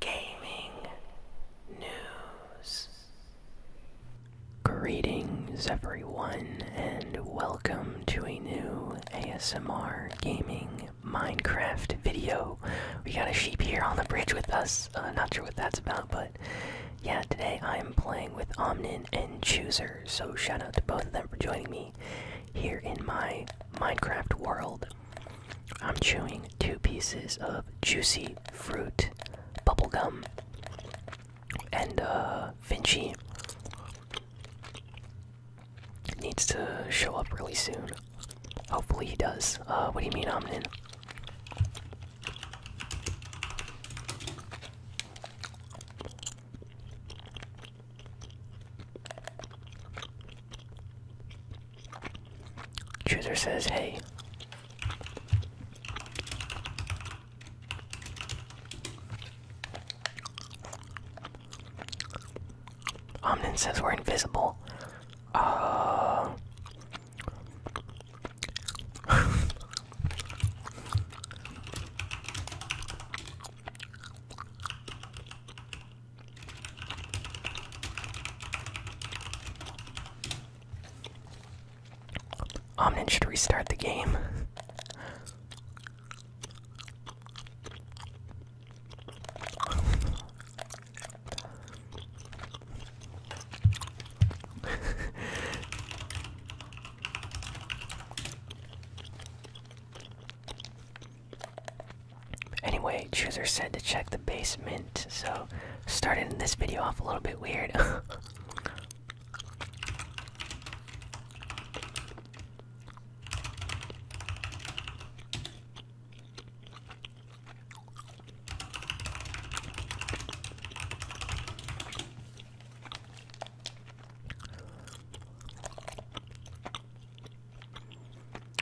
gaming news. Greetings, everyone, and welcome to a new ASMR gaming Minecraft video. We got a sheep here on the bridge with us. Uh, not sure what that's about, but yeah, today I'm playing with Omnin and Chooser, so shout out to both of them for joining me here in my Minecraft world. I'm chewing two pieces of juicy fruit bubblegum and uh needs to show up really soon. Hopefully he does. Uh, what do you mean Omnin? Chooser says, hey. Omnin says we're invisible. Uh... Omnin should restart the game. Anyway, chooser said to check the basement, so starting this video off a little bit weird.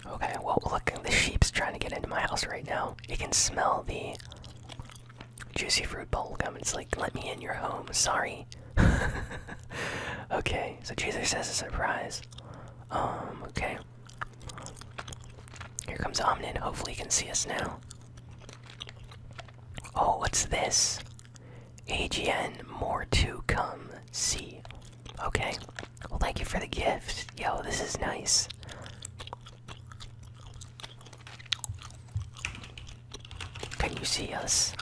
Okay, well, look, the sheep's trying to get into my house right now. It can smell the juicy fruit bubblegum. It's like, let me in your home. Sorry. okay, so Jesus says a surprise. Um, okay. Here comes Omnin. Hopefully, he can see us now. Oh, what's this? AGN more to come see. Okay. Well, thank you for the gift. Yo, this is nice. Can you see us?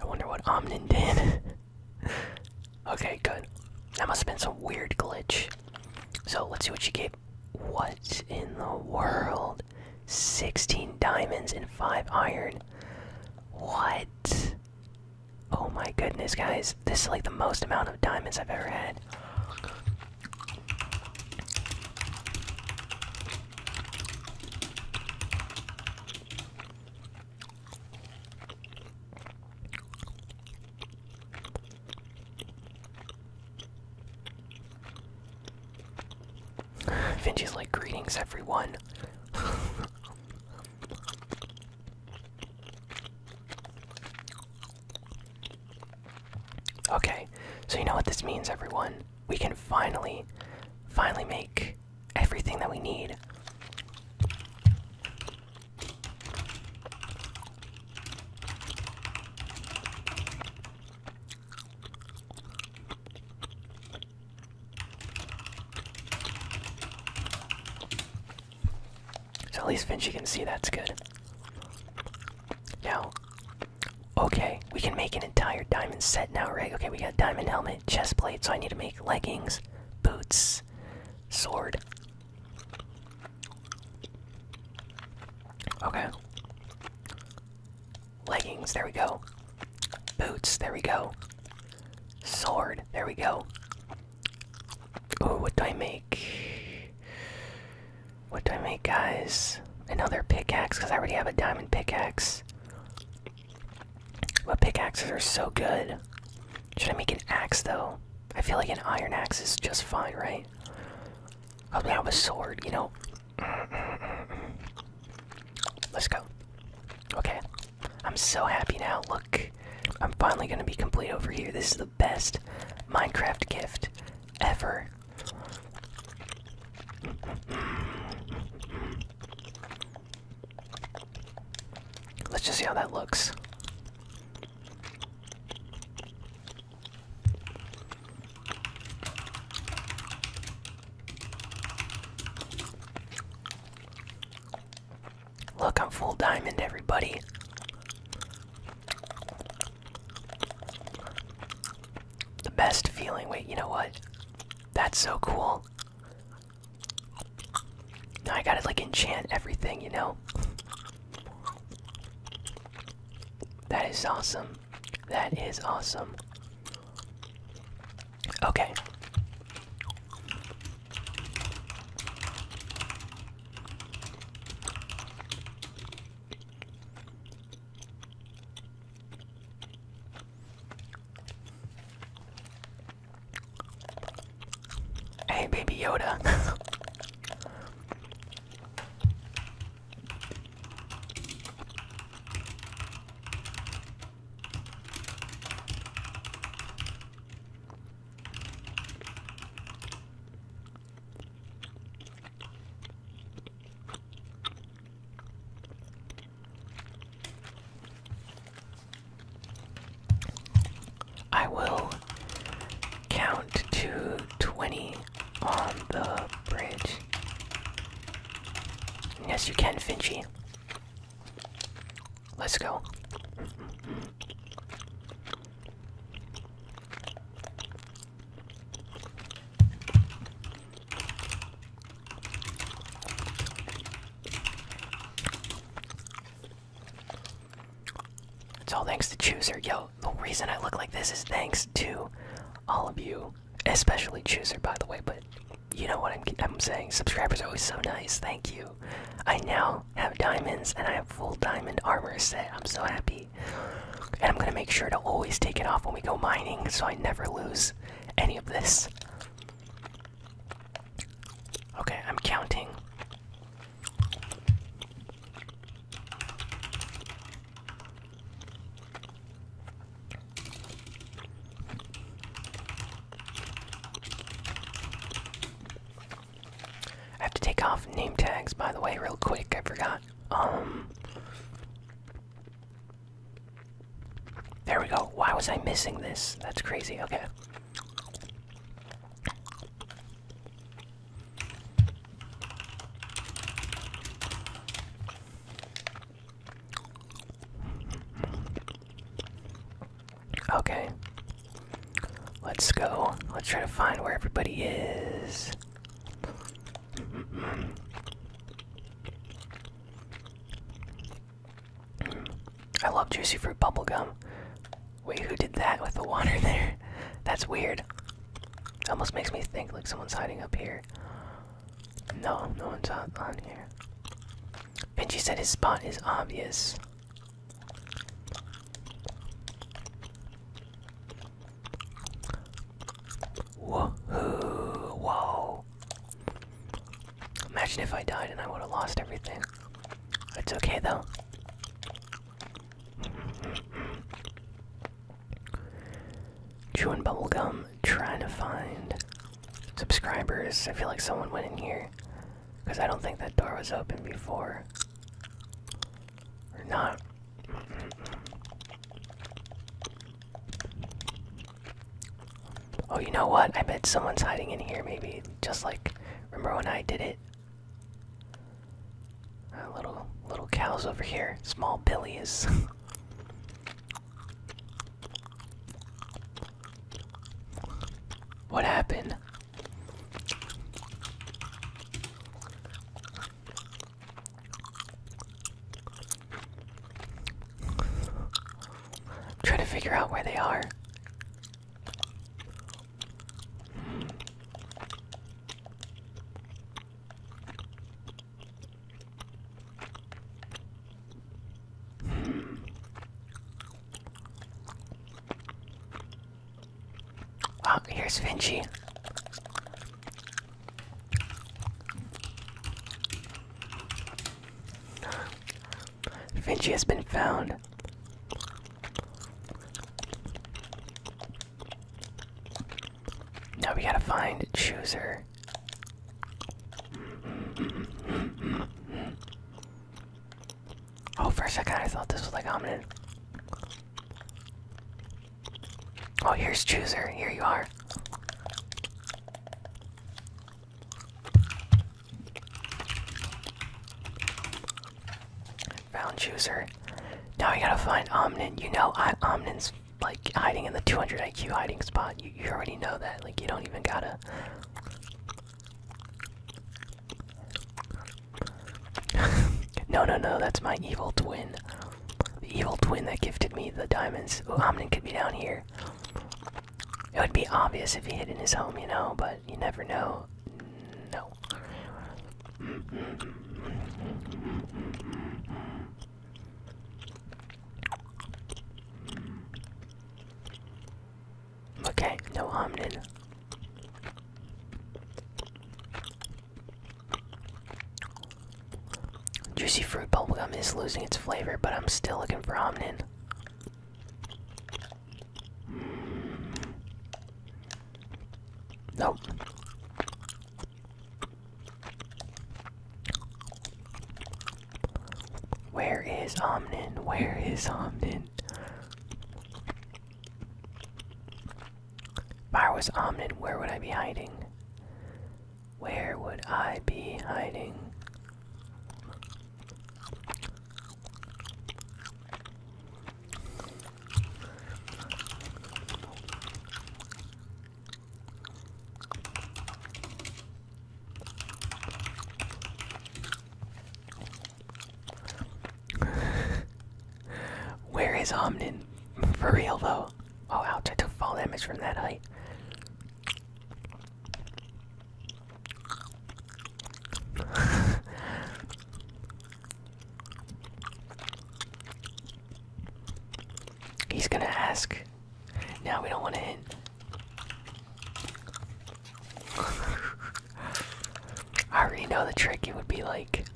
I wonder what Omnin did. okay, good. That must have been some weird glitch. So let's see what you gave. What in the world? 16 diamonds, and 5 iron. What? Oh my goodness, guys. This is like the most amount of diamonds I've ever had. Vinci's like, greetings, everyone. okay, so you know what this means, everyone? We can finally, finally make everything that we need. So at least Vinci can see that's good. Now, okay, we can make an entire diamond set now, right? Okay, we got diamond helmet, chest plate, so I need to make leggings, boots, sword. Okay. Leggings, there we go. Boots, there we go. Sword, there we go. Ooh, what do I make? What do I make, guys? they're pickaxe, because I already have a diamond pickaxe. But pickaxes are so good. Should I make an axe, though? I feel like an iron axe is just fine, right? Probably have a sword, you know? Let's go. Okay. I'm so happy now. Look, I'm finally going to be complete over here. This is the best Minecraft gift ever. Let's just see how that looks. Look, I'm full diamond, everybody. The best feeling. Wait, you know what? That's so cool. Now I gotta like enchant everything, you know? That is awesome. That is awesome. Okay. Hey, baby Yoda. I will count to 20 on the bridge Yes, you can, Finchy. Let's go. It's all thanks to Chooser. Yo, the reason I look like this is thanks to all of you especially Chooser, by the way, but you know what I'm, saying. Subscribers are always so nice. Thank you. I now have diamonds and I have full diamond armor set. I'm so happy. And I'm gonna make sure to always take it off when we go mining so I never lose any of this. Okay, I'm counting. I have to take off name tags, by the way, real quick. I forgot. Um. There we go. Why was I missing this? That's crazy. Okay. Okay. Let's go. Let's try to find where everybody is. I love juicy fruit bubblegum. Wait, who did that with the water there? That's weird. Almost makes me think like someone's hiding up here. No, no one's on, here. here. Vinci said his spot is obvious. Whoa, whoa. Imagine if I died and I would have lost everything. It's okay though. Chewing bubblegum, trying to find subscribers. I feel like someone went in here. Because I don't think that door was open before. Or not. Oh, you know what? I bet someone's hiding in here, maybe. Just like, remember when I did it? Uh, little, little cows over here. Small Billy What happened? Try to figure out where they are. Oh, here's Vinci. Vinci has been found. Now we gotta find Chooser. Oh, for a second I thought this was like hominid. Oh, here's Chooser. Here you are. Found Chooser. Now we gotta find Omnin. You know I Omnin's like hiding in the 200 IQ hiding spot. You, already know that. Like you don't even gotta. no, no, no. That's my evil twin. The evil twin that gifted me the diamonds. Ooh, Omnin could be down here. It would be obvious if he hid in his home, you know, but you never know. No. Okay, no hominin. Juicy fruit bubblegum is losing its flavor, but I'm still looking for hominin. Mm. Nope. Where is Omnin? Where is Omnin? If I was Omnin, where would I be hiding? Where would I be hiding? Where is Omnin? For real though. Oh ouch, I took fall damage from that height. He's gonna ask now we don't want to hit. I already know the trick. It would be like,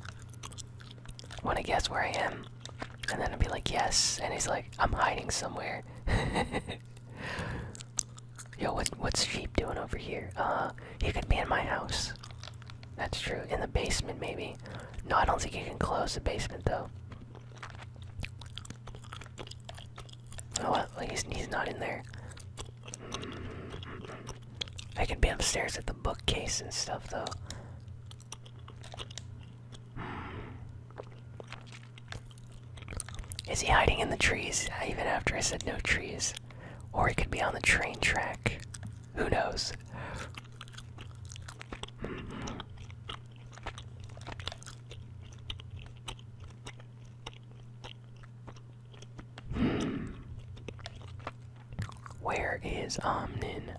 want to guess where I am? And then it would be like, yes. And he's like, I'm hiding somewhere. Yo, what, what's sheep doing over here? Uh, he could be in my house. That's true. In the basement, maybe. No, I don't think he can close the basement, though. Oh, at least he's not in there. I could be upstairs at the bookcase and stuff, though. Is he hiding in the trees? Even after I said no trees. Or he could be on the train track. Who knows? Where is Omnin?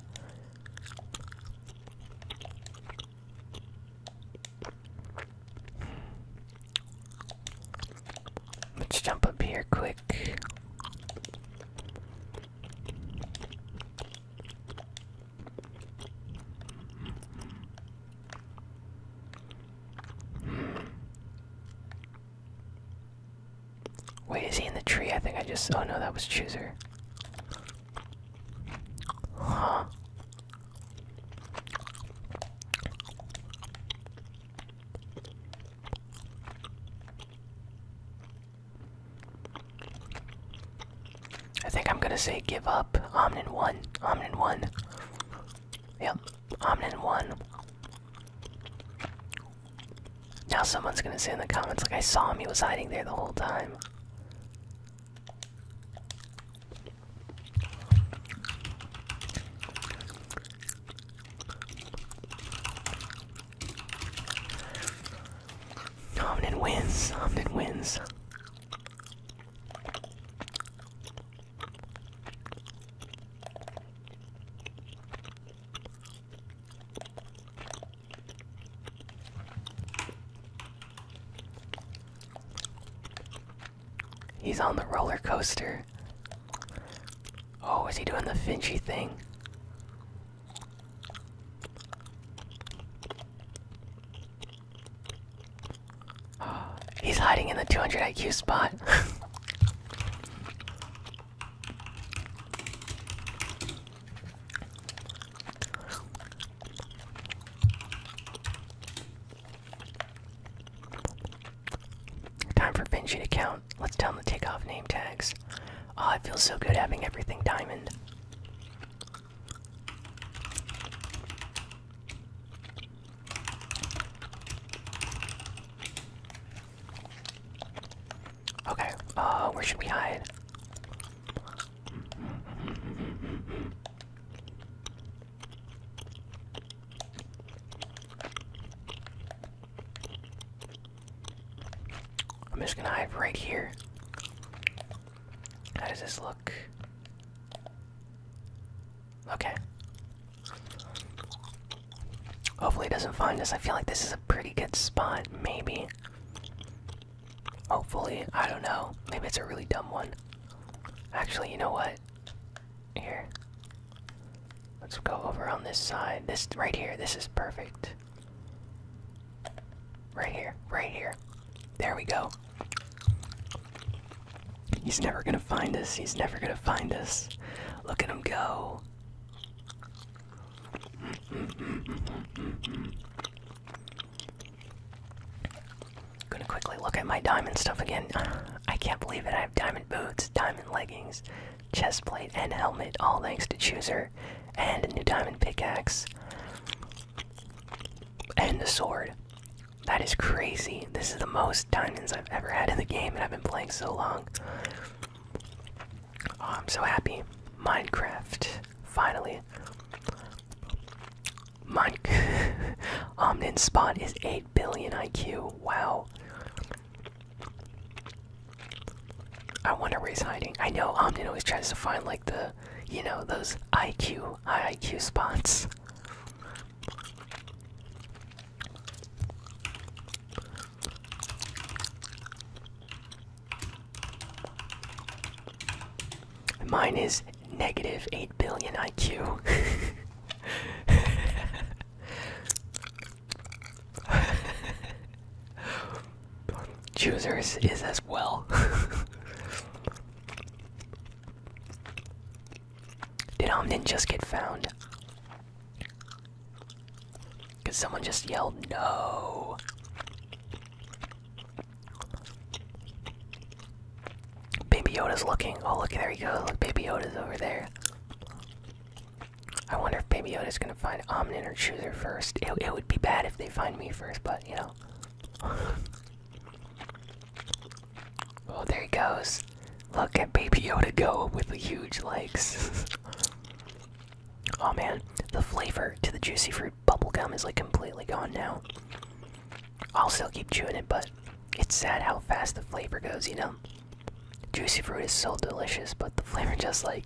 Let's jump up here quick. Wait, is he in the tree? I think I just. Oh no, that was Chooser. Huh. I think I'm gonna say give up. Omnin one. Omnin one. Yep. Omnin one. Now someone's gonna say in the comments like I saw him. He was hiding there the whole time. Omnin wins. Omnin wins. He's on the roller coaster. Oh, is he doing the Finchy thing? He's hiding in the 200 IQ spot. Time for Vinci to count. Let's tell him to take off name tags. Oh, it feels so good having everything diamond. Okay, uh, where should we hide? I'm just gonna hide right here. How does this look? Okay. Hopefully, it doesn't find us. I feel like this is a pretty good spot, maybe. Hopefully, I don't know. Maybe it's a really dumb one. Actually, you know what? Here. Let's go over on this side. This right here, this is perfect. Right here, right here. There we go. He's never gonna find us. He's never gonna find us. Look at him go. Gonna quickly look at my diamond stuff again. I can't believe it. I have diamond boots, diamond leggings, chest plate, and helmet, all thanks to Chooser and a new diamond pickaxe and a sword. That is crazy. This is the most diamonds I've ever had in the game, and I've been playing so long. Oh, I'm so happy. Minecraft, finally. Mine Omnin Spot is 8 billion IQ. Wow. I wonder where he's hiding. I know Omnin always tries to find like the, you know, those IQ, high IQ spots. Mine is negative 8 billion IQ. Choosers is as well. Did Omnin just get found? Because someone just yelled no. Baby Yoda's looking. Oh, look, there he goes. Look, Baby Yoda's over there. I wonder if Baby Yoda's gonna find Omnin or Chooser first. It, it would be bad if they find me first, but but you know. oh, there he goes. Look at Baby Yoda go with the huge legs. oh man, the flavor to the juicy fruit bubble gum is like completely gone now. I'll still keep chewing it, but it's sad how fast the flavor goes, you know? Juicy fruit is so delicious, but the flavor just like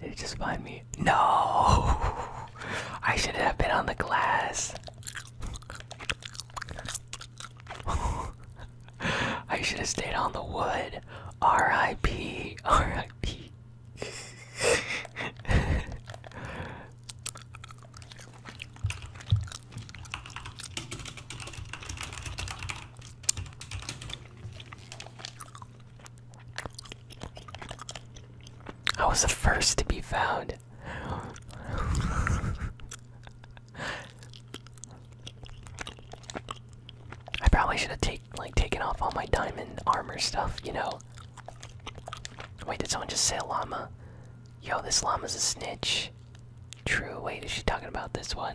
Did it just find me? No! I should have been on the glass. I should have stayed on the wood. R.I.P. R.I.P. I was the first to be found. I probably should have take like taken off all my diamond armor stuff, you know. Wait, did someone just say llama? Yo, this llama's a snitch. True. Wait, is she talking about this one?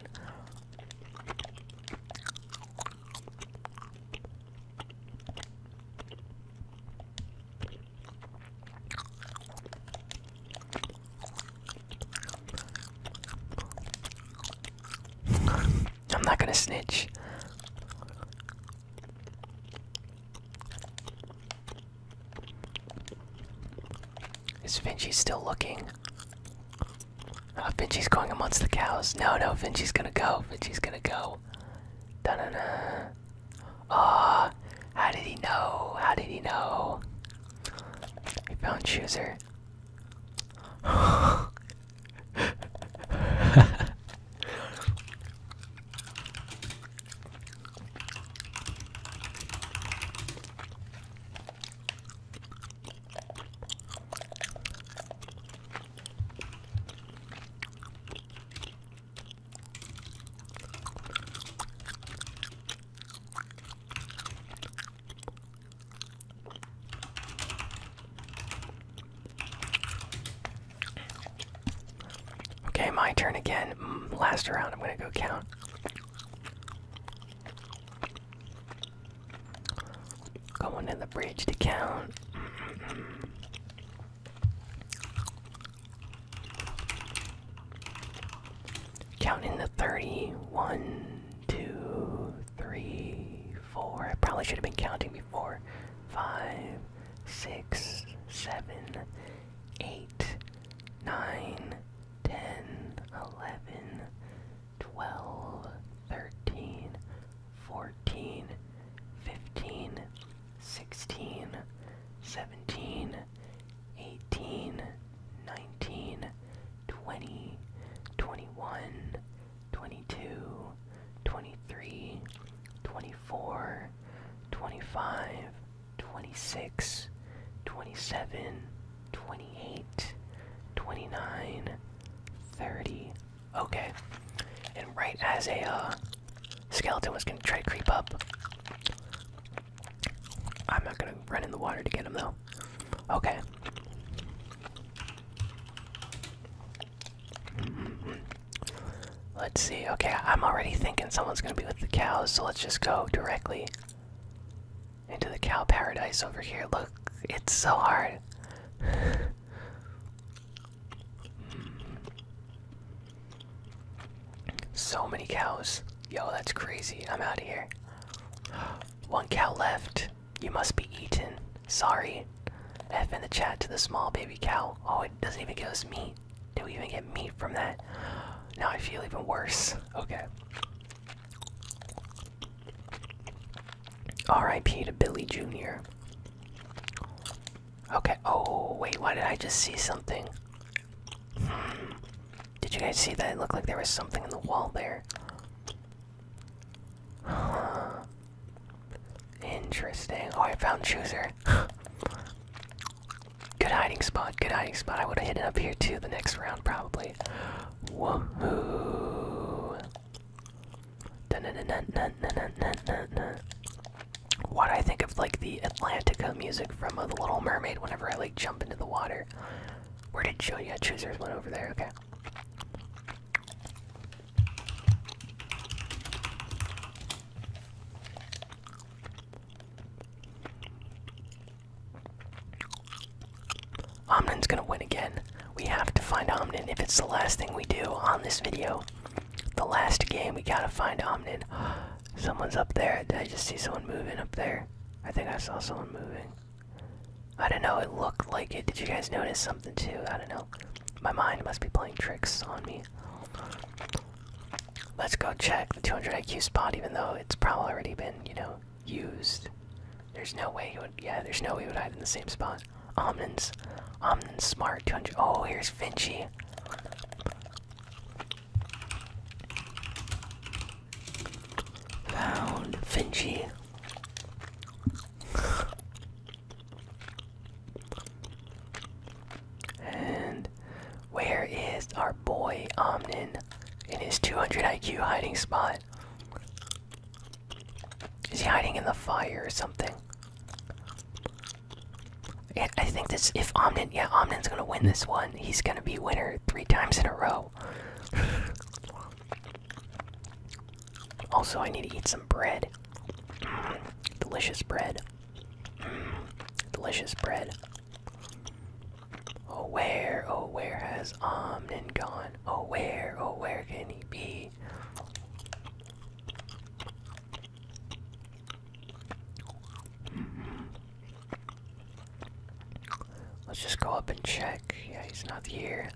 I'm not gonna snitch. Is Vinci still looking? Oh, Vinci's going amongst the cows. No, no, Vinci's gonna go. Vinci's gonna go. Ah, how did he know? How did he know? He found Chooser. Okay, my turn again. Mm, last round, I'm gonna go count. Going to the bridge to count. Counting the 30. 1, 2, 3, 4. probably should have been counting before. 5, 6, 7, 8, 9, 10, 11, 12, 13, 14, 15, 16, 17, 18, 19, 20, 21, 22, 23, 24, 25, 26, 27, 28, 29, 30. Okay. And right as a uh, skeleton was going to try to creep up, I'm not going to run in the water to get him though. Okay. Let's see. Okay, I'm already thinking someone's going to be with the cows, so let's just go directly into the cow paradise over here. Look, it's so hard. so many cows. Yo, that's crazy. I'm out of here. One cow left. You must be eaten. Sorry. F in the chat to the small baby cow. Oh, it doesn't even give us meat. Do we even get meat from that? Now I feel even worse. Okay. R.I.P. to Billy Jr. Okay, oh, wait, why did I just see something? Hmm. Did you guys see that? It looked like there was something in the wall there. Interesting. Oh, I found Chooser. good hiding spot, good hiding spot. I would have hidden up here too the next round, probably. Woohoo! What I think of like the Atlantica music from uh, The Little Mermaid whenever I like jump into the water. Where did show you? Yeah, choosers went over there. Okay. Omnin's gonna win again. We have to find Omnin if it's the last thing we do on this video. The last game, we gotta find Omnin. Someone's up there. I just see someone moving up there? I think I saw someone moving. I don't know, it looked like it. Did you guys notice something too? I don't know. My mind must be playing tricks on me. Let's go check the 200 IQ spot, even though it's probably already been, you know, used. There's no way he would. Yeah, there's no way he would hide in the same spot. Omnins, Omnins, smart. 200. Oh, here's Vinci. Found Vinci. and where is our boy Omnin in his 200 IQ hiding spot? Is he hiding in the fire or something? I think this. If Omnin, yeah, Omnin's gonna win this one. He's gonna be winner three times in a row. also, I need to eat some bread. Mm, delicious bread. Mm, delicious bread. Oh, where, oh, where has Omnin gone? Oh, where? Oh, where can he be? Let's just go up and check. Yeah, he's not here.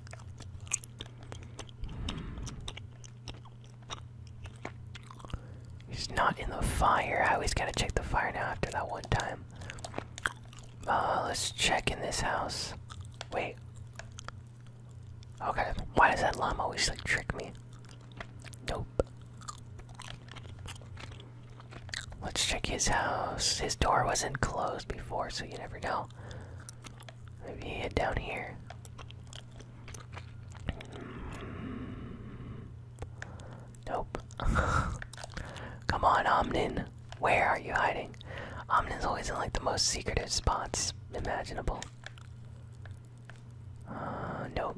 He's not in the fire. I always gotta check the fire now after that one time. Uh, let's check in this house. Wait. Okay, oh, why does that llama always like trick me? Nope. Let's check his house. His door wasn't closed before, so you never know. Maybe he hid down here. Hmm. Nope. Come on, Omnin. Where are you hiding? Omnin always in like the most secretive spots imaginable. Uh, nope.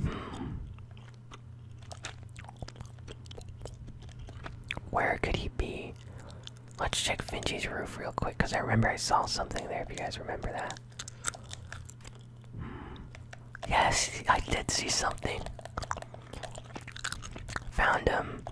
Hmm. Where could he be? Let's check Finchie's roof real quick because I remember I saw something there if you guys remember that. Hmm. Yes, I did see something. Found him.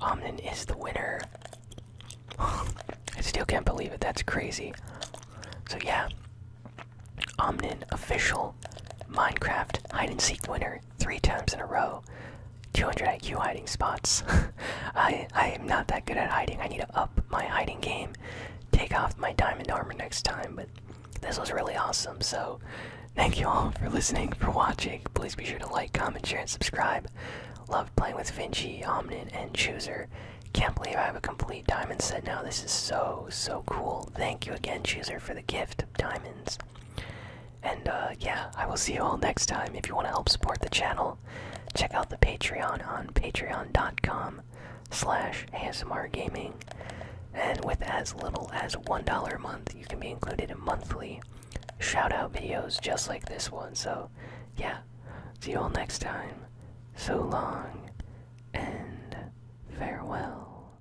Omnin is the winner. I still can't believe it. That's crazy. So yeah, Omnin official Minecraft hide and seek winner three times in a row. 200 IQ hiding spots. I I am not that good at hiding. I need to up my hiding game. Take off my diamond armor next time. But this was really awesome. So thank you all for listening, for watching. Please be sure to like, comment, share, and subscribe. Loved playing with Vinci, Omnin, and Chooser. Can't believe I have a complete diamond set now. This is so so cool. Thank you again, Chooser, for the gift of diamonds. And uh, yeah, I will see you all next time. If you want to help support the channel, check out the Patreon on patreon.com slash ASMRgaming. And with as little as $1 a month, you can be included in monthly shoutout videos just like this one. So yeah, see you all next time. So long and farewell.